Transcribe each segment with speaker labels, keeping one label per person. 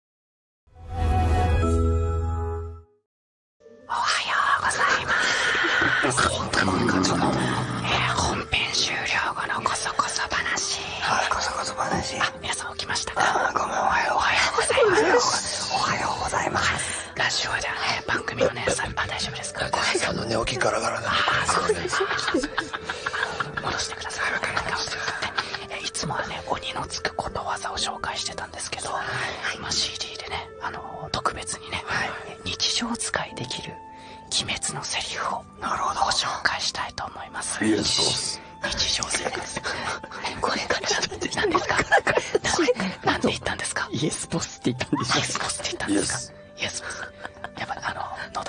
Speaker 1: おはようございます。本編終了後のこそ
Speaker 2: こそ話。はい、こそこそ話。皆さん起きましたかおはよう、ございます。おはようございます。ラジオではね、番組の大丈夫ですかあの寝起きガラガラな戻してください。戻してください。えいつもはね鬼のつくことわざを紹介してたんですけど、は CD でね、あの特別にね、日常使いできる鬼滅のセリフをご紹介したいと思います日常生活 これから何ですか何で言ったんですかイエスボスって言ったんですかイエスボスって言ったんですかイエスボスやっぱあの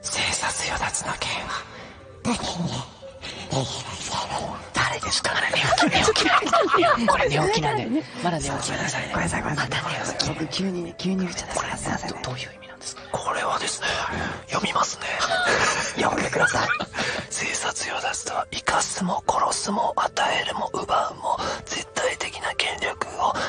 Speaker 2: 生殺与奪の件は誰ですか寝起き寝起これね急に急にこれはですね読みますね読んでください生殺与奪とは生かすも殺すも与えるも奪うも絶対的な権力を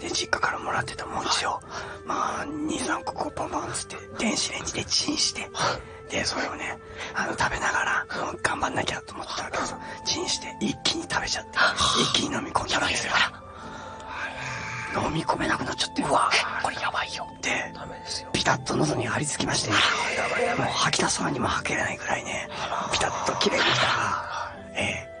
Speaker 2: で実家からもらってた餅を、まあ23個こうポンポンつって電子レンジでチンしてでそれをねあの食べながら頑張んなきゃと思ってたわけですチンして一気に食べちゃって一気に飲み込んだんですよ飲み込めなくなっちゃってうわこれやばいよでピタッと喉に張り付きまして、もう吐き出そうにも吐けれないぐらいねピタッと綺麗にきたらええ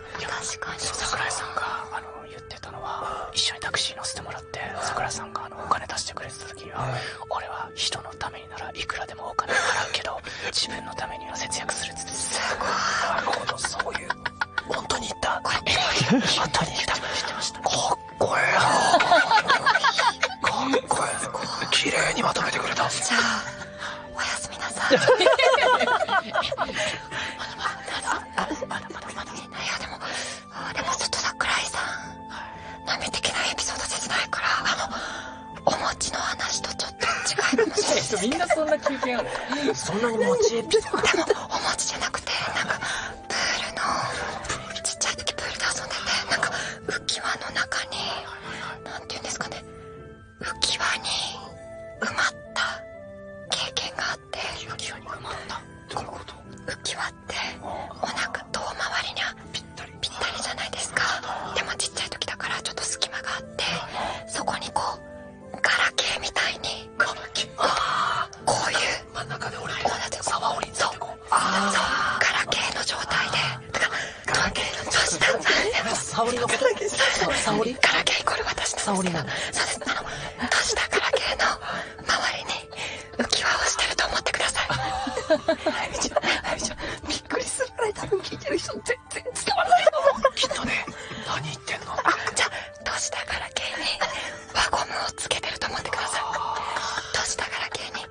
Speaker 2: 確かに桜井さんがあの言ってたのは、一緒にタクシー乗せてもらって、桜井さんがあのお金出してくれてた時は、俺は人のためにならいくらでもお金払うけど 自分のためには節約するっつってすごいなるほどそういう本当に言った本当に言ったかっこええなかっこええ
Speaker 1: れいにまとめてくれたじゃあ おやすみなさい。でもでもちょっと桜井さん、波的なエピソード切ないから、あの、お餅の話とちょっと違いかもしれなすみんなそんな経験そんなお餅エピソードでも、お餅じゃなくて、なんか、プールの、ちっちゃい時プールで遊んでて、なんか、浮き輪の中に、何て言うんですかね、浮き輪に埋まった経験があって浮き輪に埋ってお腹と周りにはぴったりじゃないですかでもちっちゃい時だからちょっと隙間があってそこにこうガラケーみたいにガラこういう真ん中で折そうガラケーの状態でガラケーの女子だ。沙織のこと沙織ガラケーイコール私沙織なの。そうです。あの、年だガラケーの周りに浮き輪をしてると思ってください。あゆみちゃん、あゆみちゃん、びっくりするぐらい多分聞いてる人全然伝わらないと思う。きっとね、何言ってんのあ、じゃあ、年だガラケーに輪ゴムをつけてると思ってください。年だガラケーに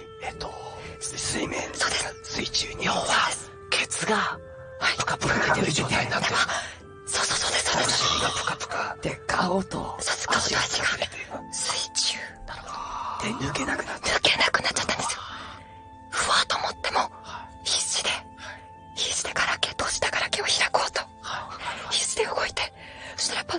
Speaker 2: えっと、水面、そうです水中に、要は、ケツが、プカプカ
Speaker 1: 出てる状態の中、ってる。そうそうそうです、そうです。がぷかぷか。で、顔と、足が触れて水中。なるほど。で、抜けなくなっちゃった。抜けなくなっちゃったんですよ。ふわと思っても、必死で、必死でガラケー、閉じたガラケーを開こうと。必死で動いて、そしたらやっぱ、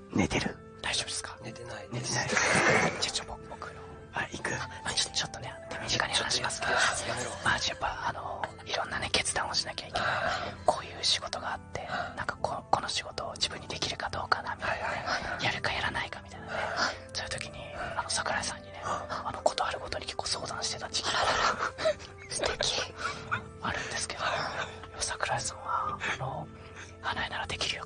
Speaker 2: 寝てる大丈夫ですか寝てない寝てない じゃちょ僕僕のあ行くあちょっとね手短に話しますけどまあやっぱあのいろんなね決断をしなきゃいけないこういう仕事があってなんかこの仕事を自分にできるかどうかなみたいなねやるかやらないかみたいなねそういう時にあの桜井さんにねあのこあるごとに結構相談してた時期が 素敵あるんですけど桜井さんはあの花井ならできるよ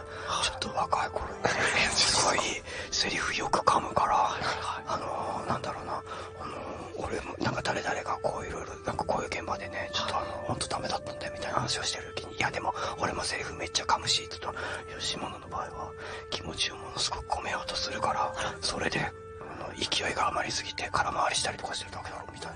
Speaker 2: ちょっと若い頃に、ね、すごいセリフよく噛むから、あのなんだろうな、あの俺もなんか誰々がこういろなんかこういう現場でね、ちょっとあの、ほんとダメだったんだみたいな話をしてる時に、いやでも俺もセリフめっちゃ噛むし、ちょっと、吉本の場合は気持ちをものすごく込めようとするから、それで、あの、勢いが余りすぎて空回りしたりとかしてるだけだろみたい
Speaker 1: な。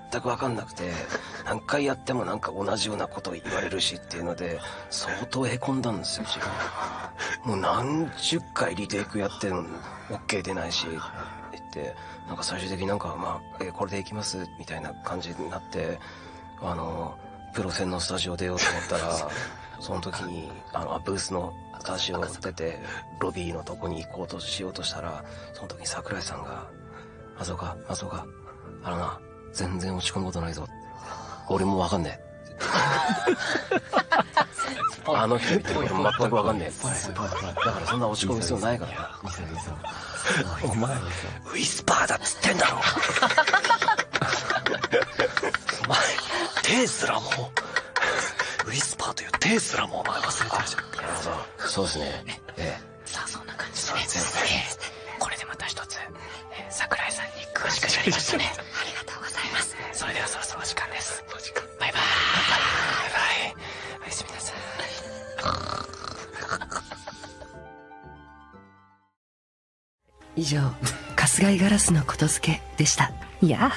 Speaker 2: 全く分かんなくて何回やってもなんか同じようなこと言われるしっていうので相当へこんだんですよ自分もう何十回リテイクやってオッケー出ないしって言ってなんか最終的になんかまあ、えこれでいきますみたいな感じになってあのプロ戦のスタジオ出ようと思ったら その時にあのブースのスタジオを出てロビーのとこに行こうとしようとしたらその時に桜井さんが「
Speaker 1: あそうか、あそうか。あのな、全然落ち込むことないぞ。俺もわかんねえ。あの人ってる全くわかんねえ。だからそんな落ち込む必要ないからな。お前、ウィスパーだっ
Speaker 2: つってんだろ。お前、手スラも、ウィスパーという手すらもお前忘れてるじゃん。そうですね。ええ。さあそんな感じでね、これでまた一つ、え桜井さんに
Speaker 1: 詳しくなりましたねありが
Speaker 2: とうございますそれではそろそろ時間ですバイバイバイバイ
Speaker 1: おやすみなさい以上春日井ガラスのことづけでしたいや